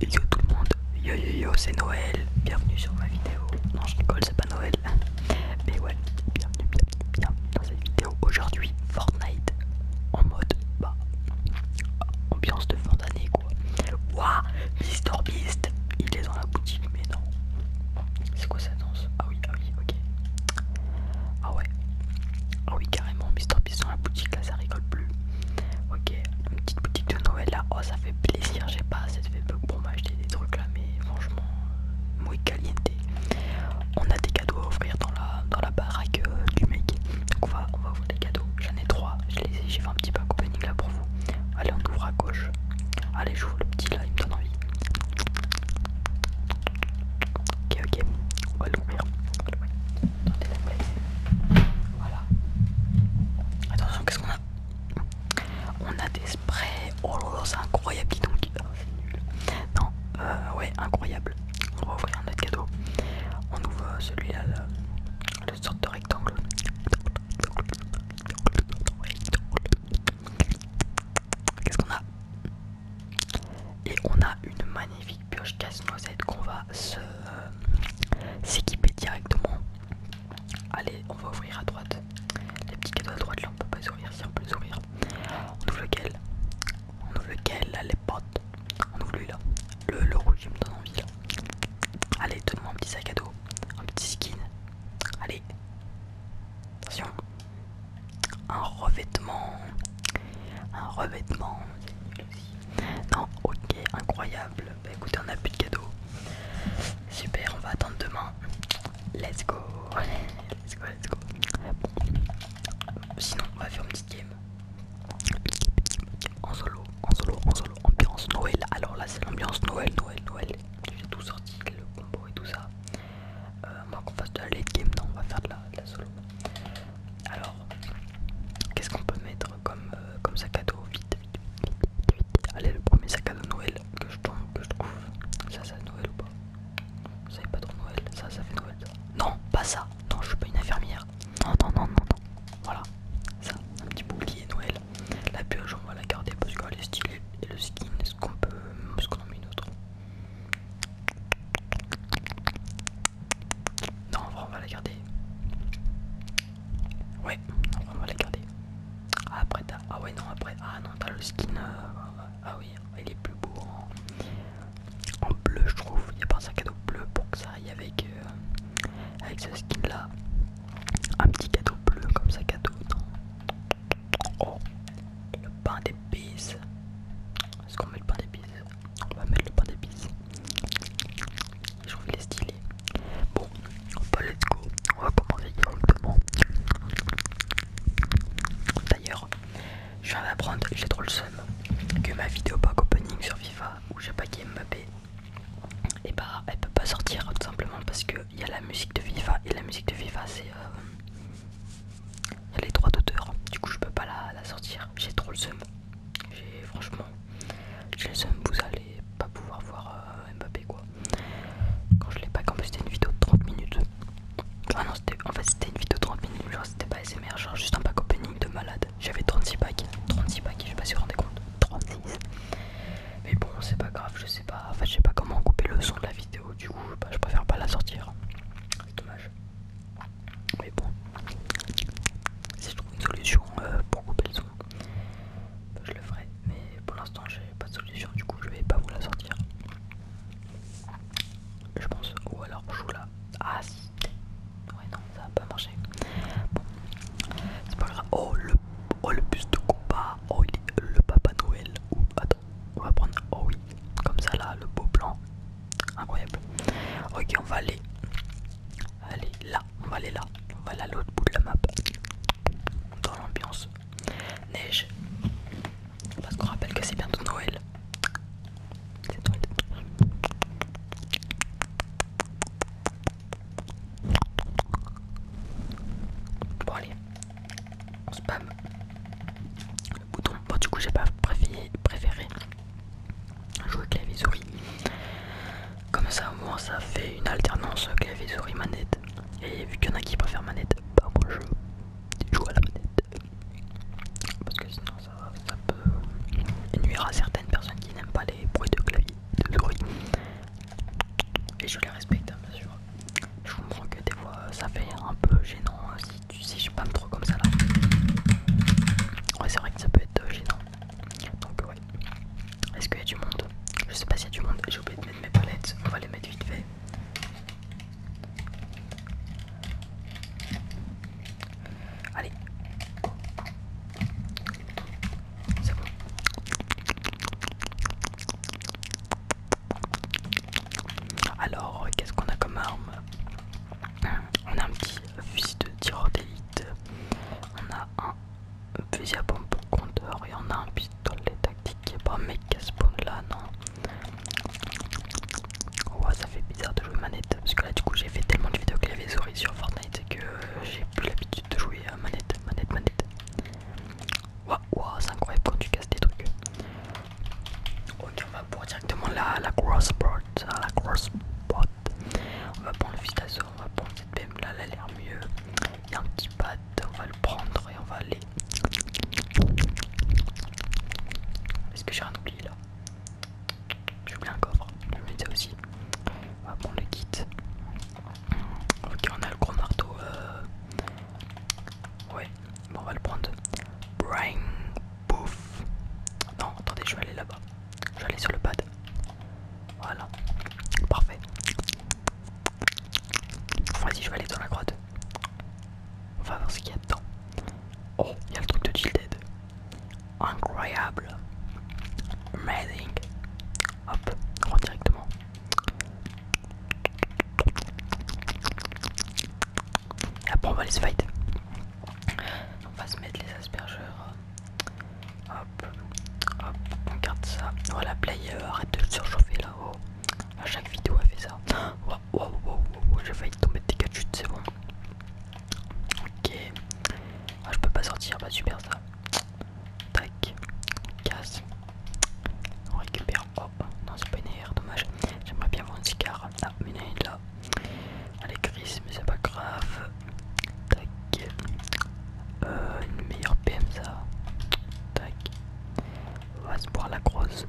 Yo tout le monde, yo yo yo c'est Noël, bienvenue sur ma vidéo, non je rigole c'est pas Noël, mais ouais, bienvenue, bienvenue, dans cette vidéo, aujourd'hui Fortnite en mode, bah, ambiance de fin d'année quoi, waouh, Mister Beast, il est dans la boutique mais non, c'est quoi cette danse, ah oui, ah oui, ok, ah ouais, ah oui carrément Mister sont dans la boutique là ça rigole plus ok une petite boutique de Noël là oh ça fait plaisir j'ai pas assez de Facebook pour m'acheter des trucs là mais franchement euh, moi caliente on a des cadeaux à offrir dans la, dans la baraque euh, du mec donc on va, on va ouvrir des cadeaux j'en ai trois j'ai fait un petit pack opening là pour vous allez on ouvre à gauche allez j'ouvre le petit là il me donne envie ok ok on va l'ouvrir voilà Attention, qu'est-ce qu'on a On a des sprays. Oh c'est incroyable, dis donc. Oh, c'est nul. Non, euh, ouais, incroyable. On va ouvrir un autre cadeau. On ouvre euh, celui-là, le, sort sorte de rectangle. Qu'est-ce qu'on a Et on a une magnifique pioche casse-noisette qu'on va se euh, s'équiper directement. Allez, on va ouvrir à droite. Les petits cadeaux à droite, là on peut pas s'ouvrir, si on peut s'ouvrir On ouvre lequel On ouvre lequel Là, les potes. On ouvre lui là. Le, le rouge, il me donne envie là. Allez, donne-moi un petit sac à dos, un petit skin. Allez, attention. Un revêtement, un revêtement. Non, ok, incroyable. Bah écoutez, on a plus de cadeaux. Super, on va attendre demain. Let's go. Let's go, Sinon, on va faire une petite game. En solo, en solo, en solo. Ambiance Noël. Alors là, c'est l'ambiance Noël, Noël, Noël. J'ai tout sorti, le combo et tout ça. Euh, moi qu'on fasse de la late game, non, on va faire de la solo. Alors, qu'est-ce qu'on peut mettre comme, euh, sac à dos vite, vite, vite, Allez, le premier sac à dos Noël que je, que je trouve. Ça, c'est Noël ou pas Ça, n'est pas trop Noël. Ça, ça fait Noël. Ça. Non, pas ça. Non, je suis pas une infirmière. Non, non, non, non, non. Voilà. Ça, un petit bouclier Noël. La pioche, on va la garder parce qu'elle est stylée. Et le skin, est-ce qu'on peut. Est-ce qu'on en met une autre non, on va la garder. Ouais, on va la garder. Ah, après, Ah, ouais, non, après. Ah, non, t'as le skin. Euh, ah, oui, il est plus beau en, bleu, je trouve. Il n'y a pas un cadeau bleu pour que ça aille avec, euh, avec ce skin là. Un petit cadeau bleu comme ça, cadeau. Non. Oh, le pain d'épices. Est-ce qu'on met le pain d'épices On va mettre le pain d'épices. Je trouve qu'il est stylé. Bon, bah let's go. On va commencer demande, D'ailleurs, je viens d'apprendre, j'ai trop le seum, que ma vidéo pack opening sur FIFA où j'ai packé Mbappé, et eh bah elle peut pas sortir tout simplement parce qu'il y a la musique de FIFA et la musique de FIFA c'est. il euh, y a les droits d'auteur, du coup je peux pas la sortir, j'ai trop le seum. J'ai franchement, j'ai vous allez pas pouvoir voir euh, Mbappé quoi. Quand je l'ai pas, en plus c'était une vidéo de 30 minutes. Ah non, en fait c'était une vidéo de 30 minutes, genre c'était pas SMR, genre juste un pack opening de malade. J'avais 36 packs, 36 packs, je sais pas si vous vous rendez compte, 36. Mais bon, c'est pas grave, je sais pas, en fait je sais pas comment couper le son de la vidéo, du coup bah, je préfère pas la sortir. C'est dommage. Mais bon, si je trouve une solution euh, pour couper le son, je le ferai. Mais pour l'instant, j'ai pas de solution, du coup, je vais pas vous la sortir. Je pense, ou alors je joue là. Ah si, ouais, non, ça va pas marcher. Bon, c'est pas grave. Oh, le, oh, bus de combat. Oh, le Papa Noël. Ou, attends, on va prendre. Oh oui, comme ça là, le beau plan. Incroyable. Ok, on va aller. là. On va aller là. On va aller à l'autre bout de la map. Dans l'ambiance. Neige. Parce qu'on rappelle que c'est bientôt Noël. C'est Noël. Bon allez, on spam le bouton. Bon du coup j'ai pas préféré jouer clavier-souris. Comme ça, au moins, ça fait une alternance clavier-souris-manette. Et vu qu'il y en a qui préfèrent manette, bah moi je joue à la manette. Parce que sinon, ça, peut nuire à certaines personnes qui n'aiment pas les bruits de clavier, Et je les respecte, hein, bien sûr. Je comprends que des fois, ça fait un peu gênant hein, si, tu, sais je pas comme ça là. Ouais, c'est vrai que ça peut être gênant. Donc, ouais. Est-ce qu'il y a du monde Je sais pas s'il y a du monde. J'ai oublié de mettre mes palettes. On va les mettre vite fait. Allez. C'est bon. Alors, qu'est-ce qu'on a comme arme On a un petit fusil de tireur d'élite. On a un fusil à pompe pour compteur et on a un pistolet tactique un mec pas a spawn là, non. Ouah ça fait bizarre de jouer manette parce que là, du coup, j'ai fait tellement de vidéos clavier souris sur Fortnite que euh, j'ai plus l'habitude de jouer à manette, manette, manette. Waouh, c'est incroyable quand tu casses des trucs. Ok, va on va prendre directement la, la hein, La crossbord On va prendre le Vistazo, on va prendre cette BM là, elle a l'air mieux. Il y a un petit pad, on va le prendre et on va aller. Est-ce que j'ai rien oublié là J'ai oublié un coffre, vais ça aussi. On va prendre le kit. Ok, on a le gros marteau. Euh, ouais, bon, on va le prendre. brain Pouf. Non, attendez, je vais aller là-bas. Je vais aller sur le pad. Voilà. Parfait. Vas-y, je vais aller dans la grotte. On va voir ce qu'il y a dedans. Oh, il y a le truc de Dead. Incroyable. Amazing. Hop, on rentre directement. Après on va les fight. On va se mettre les aspergeurs. Hop, hop, on garde ça. Voilà, oh, play, arrête de surchauffer là. haut À chaque vidéo elle fait ça. Waouh, waouh, waouh, wow. j'ai failli tomber des 4 c'est bon. Ok. Ah, je peux pas sortir, bah super ça. Tac, on casse. On récupère. hop non, c'est pas une erreur, dommage. J'aimerais bien voir un cigare. Ah, mais là. Allez Elle mais c'est pas grave. Tac. Euh, une meilleure PM ça. Tac. On va se boire la grosse.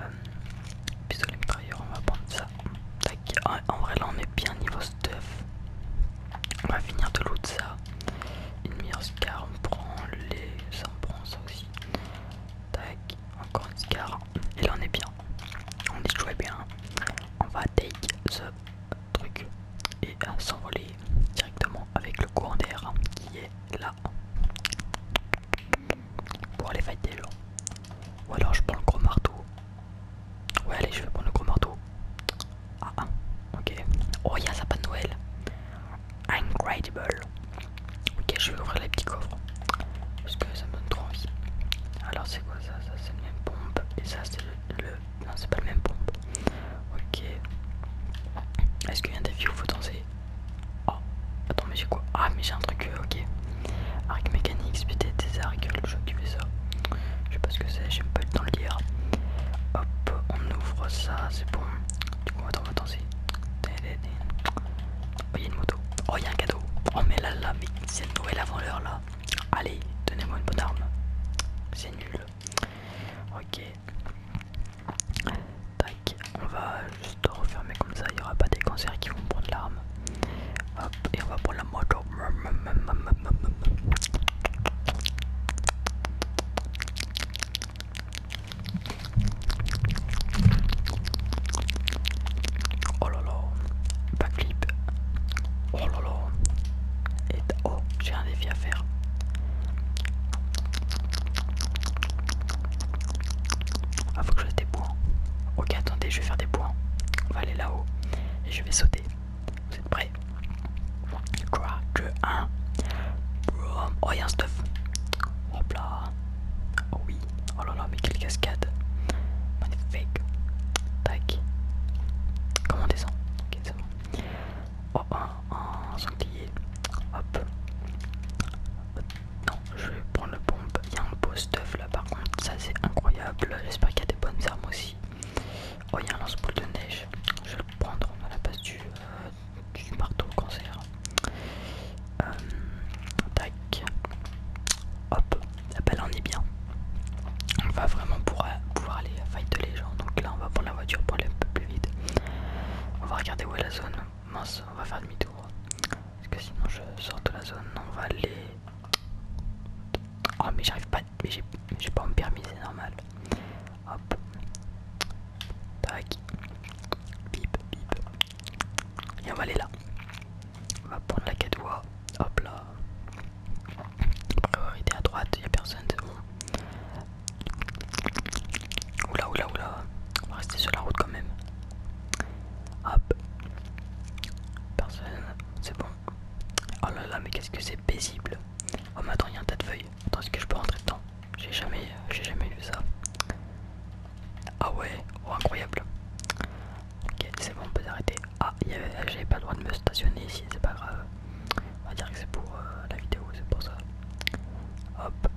Euh, pistolet mitrailleur, on va prendre ça. Tac. En, vrai là on est bien niveau stuff. On va finir de loot ça. Une meilleure scar, on prend les. ça on prend ça aussi. Tac, encore une scar. Et là on est bien. On est bien. On va take ce truc et euh, s'envoler directement avec le courant d'air qui est là pour aller fight des gens. Ou alors je prends le gros marteau. Ouais allez je vais prendre le gros marteau. Ah, ah ok. Oh a sa de Noël. Incredible. Ok, je vais ouvrir les petits coffres parce que ça me donne trop envie. Alors, c'est quoi ça Ça, c'est le même pompe et ça, c'est le, Non, c'est pas le même pompe. Ok. Est-ce qu'il y a des défi où faut danser Oh, attends, mais j'ai quoi Ah, mais j'ai un truc, euh, ok. Arc mécanique, peut-être des arcs, le jeu qui fait ça. Je sais pas ce que c'est, un pas le temps de lire. Hop, on ouvre ça, c'est bon. Du coup, on va danser. Oh, il y a une moto. Oh, il y a un cadeau. Oh, mais là, là, mais c'est une nouvelle avant là. Allez, donnez-moi une bonne arme. C'est nul. Ok. Tac, on va juste refermer comme ça. Il n'y aura pas des cancers qui vont prendre l'arme. Hop, et on va prendre la moto. Oh là là, backflip. Oh là là. Et oh, j'ai un défi à faire. Ah, faut que je fasse des points. Ok, attendez, je vais faire des points. On va aller là-haut. Et je vais sauter. Vous êtes prêts 3, Que 1. Oh, il y a un stuff. Hop là. Oh oui, oh là là, mais quelle cascade! Magnifique! Tac! Comment on descend? Ok, c'est bon. Oh, un, un sanglier. Hop! Non, je vais prendre la pompe. Il y a un beau stuff là par contre, ça c'est incroyable. J'espère qu'il y a des bonnes armes aussi. Oh, il y a un lance-boule de neige. Je vais le prendre. à la base du, euh, du marteau cancer. Euh, tac. Hop, la balle est bien. On va vraiment pouvoir aller fight les gens. Donc là, on va prendre la voiture pour aller un peu plus vite. On va regarder où est la zone. Mince, on va faire demi-tour. Parce que sinon, je sors de la zone. On va aller. Oh, mais j'arrive pas. Mais j'ai pas mon permis, c'est normal. Hop. Tac. Bip, bip. Et on va aller là. On va prendre la 4 Hop là. Priorité à droite, il n'y a personne, c'est bon. Oula, oula, oula. On va rester sur la route quand même. Hop. Personne, c'est bon. Oh là là, mais qu'est-ce que c'est paisible. Oh mais attends, il y a un tas de feuilles. Attends, est-ce que je peux rentrer dedans J'ai jamais, j'ai jamais vu ça. Ah ouais, oh, incroyable. Ok, c'est bon, on peut s'arrêter. Ah, j'avais pas le droit de me stationner ici, c'est pas grave. On va dire que c'est pour euh, la vidéo, c'est pour ça. Hop.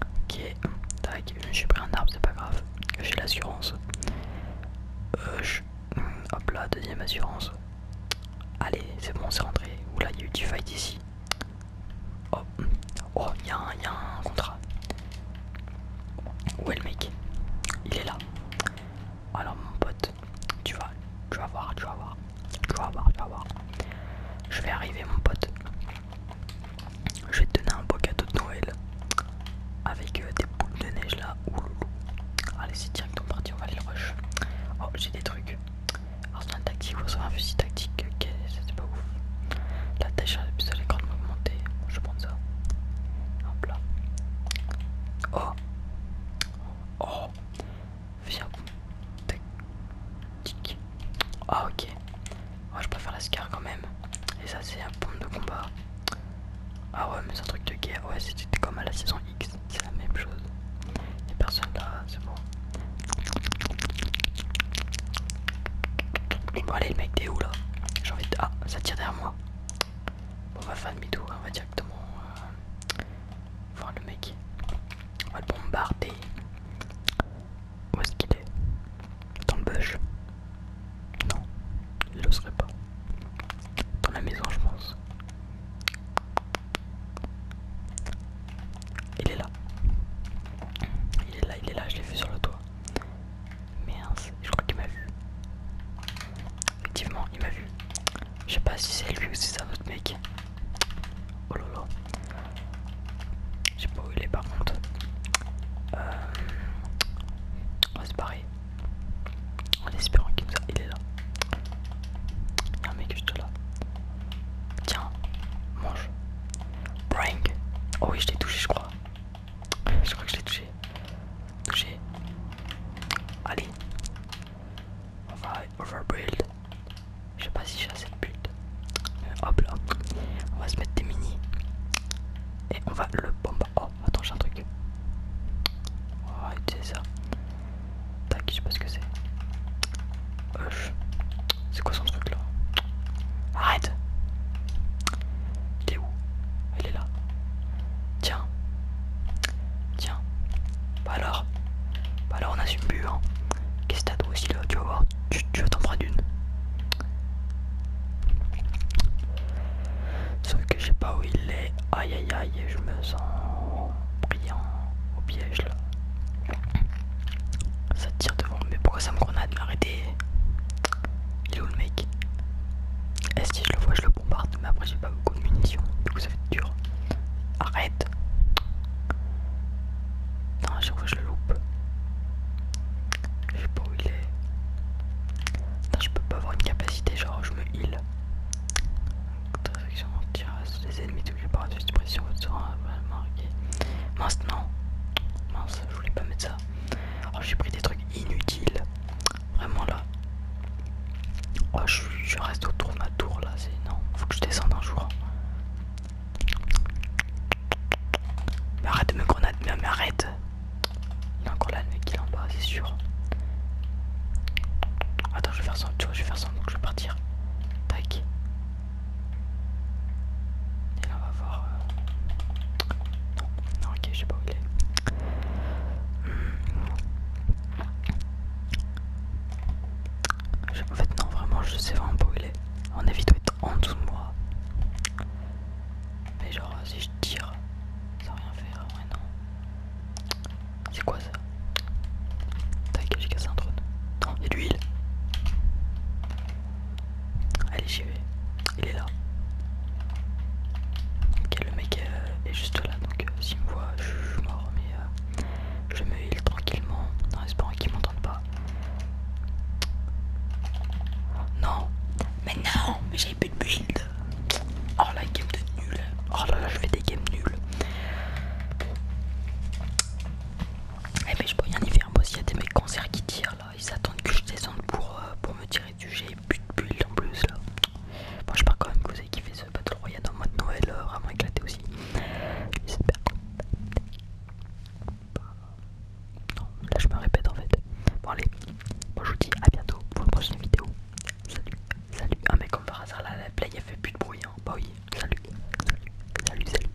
Ok, tac, j'ai pris un arbre, c'est pas grave. J'ai l'assurance. Euh, hop là, deuxième assurance. Allez, c'est bon, c'est rentré. Oula, il y a du fight ici. Oh, oh, il y, a un contrat. Où est le mec Il est là. Alors mon pote, tu vas, tu vas voir, tu vas voir, tu vas voir, tu vas voir. Je vais arriver mon pote. Je vais te donner un beau cadeau de Noël avec euh, des boules de neige là. Allez, c'est directement on parti, on va aller le rush. Oh, j'ai des trucs. Arsenal tactique, faire un fusil ok, c'était pas ouf. La tâche à l'épisode est grandement augmentée, je prends ça. Hop là. Oh Oh Viens. Tic. Ah ok. Moi je préfère la SCAR quand même. Et ça c'est un pompe de combat. Ah ouais mais c'est un truc de guerre. Ouais c'était comme à la saison X. C'est la même chose. Y'a personne là, c'est bon. Bon allez le mec t'es où là J'ai envie de... Ah ça tire derrière moi On va faire demi-tour on va directement euh, voir le mec On va le bombarder Où est-ce qu'il est Dans le bush Non il le serait pas Dans la maison je pense Il est là Il est là il est là je l'ai vu sur le toit Merde, je crois qu'il m'a vu. Effectivement, il m'a vu. Je sais pas si c'est lui ou si c'est un autre mec. Oh là là. Je sais pas où il est par contre. On va se barrer. En espérant qu'il nous Il est là. Il y a un mec juste là. Tiens, mange. Prank. Oh oui, je l'ai touché, je crois. Je crois que je l'ai touché. Touché. Allez. On va overbuild. Je sais pas si j'ai assez de build. Euh, hop là. On va se mettre des mini. Et on va le bomber. Oh, attends, j'ai un truc. On va utiliser ça. Tac, je sais pas ce que c'est. C'est quoi son truc là Arrête Il est où Il est là. Tiens. Tiens. Bah alors. Bah alors on a plus hein. Qu'est-ce que t'as toi aussi là Tu vas voir, tu, tu vas t'en prendre une. Sauf que je sais pas où il est. Aïe aïe aïe, je me sens brillant au piège là. Ça tire devant, mais pourquoi ça me grenade Arrêtez Il est où le mec Est-ce eh, que je le vois, je le bombarde, mais après j'ai pas beaucoup de munitions, du coup ça fait dur. Arrête Non, à chaque je le loupe. Je sais pas où il est. non je peux pas avoir une capacité, genre je me heal. sur les ennemis touchés par la suppression, va vraiment marqué. Mince, non Mince je voulais pas mettre ça. Oh, j'ai pris des trucs inutiles. Vraiment là. Oh, je, reste autour de ma tour là. C'est non, faut que je descende un jour. arrête de me grenade, mais, mais arrête. Il encore là, le mec, il est en bas, c'est sûr. Attends, je vais faire ça, tu vois, je vais faire ça, donc je vais partir. Tac. Et là on va voir... Euh, non, ok, je sais pas où il est. En fait non, vraiment je sais vraiment pas où il est. On évite de en dessous de moi. Mais genre si je tire, ça va rien faire, ouais non. C'est quoi ça T'inquiète, j'ai cassé un drone. Non, il de l'huile. Allez, j'y vais. Il est là. Ok, le mec euh, est juste là, donc euh, s'il me voit, je suis mort, mais je me heal tranquillement en espérant qu'il m'entende pas. Non, mais non, mais j'ai plus de build. Oh la game de nul. Oh là là, je fais des games nuls. Eh mais je peux rien y faire il y a des mecs concerts qui tirent là, ils attendent que je descende pour, euh, me tirer dessus, j'ai plus de bulles en plus là. Bon, pars quand même que vous avez kiffé ce Battle Royale en mode Noël, euh, vraiment éclaté aussi. J'espère. Non, là je me répète en fait. Bon allez, moi je vous dis à bientôt pour une prochaine vidéo. Salut, salut. un mec comme par hasard là, la play a fait plus de bruit. Hein. Bah oui, salut, salut, salut, salut.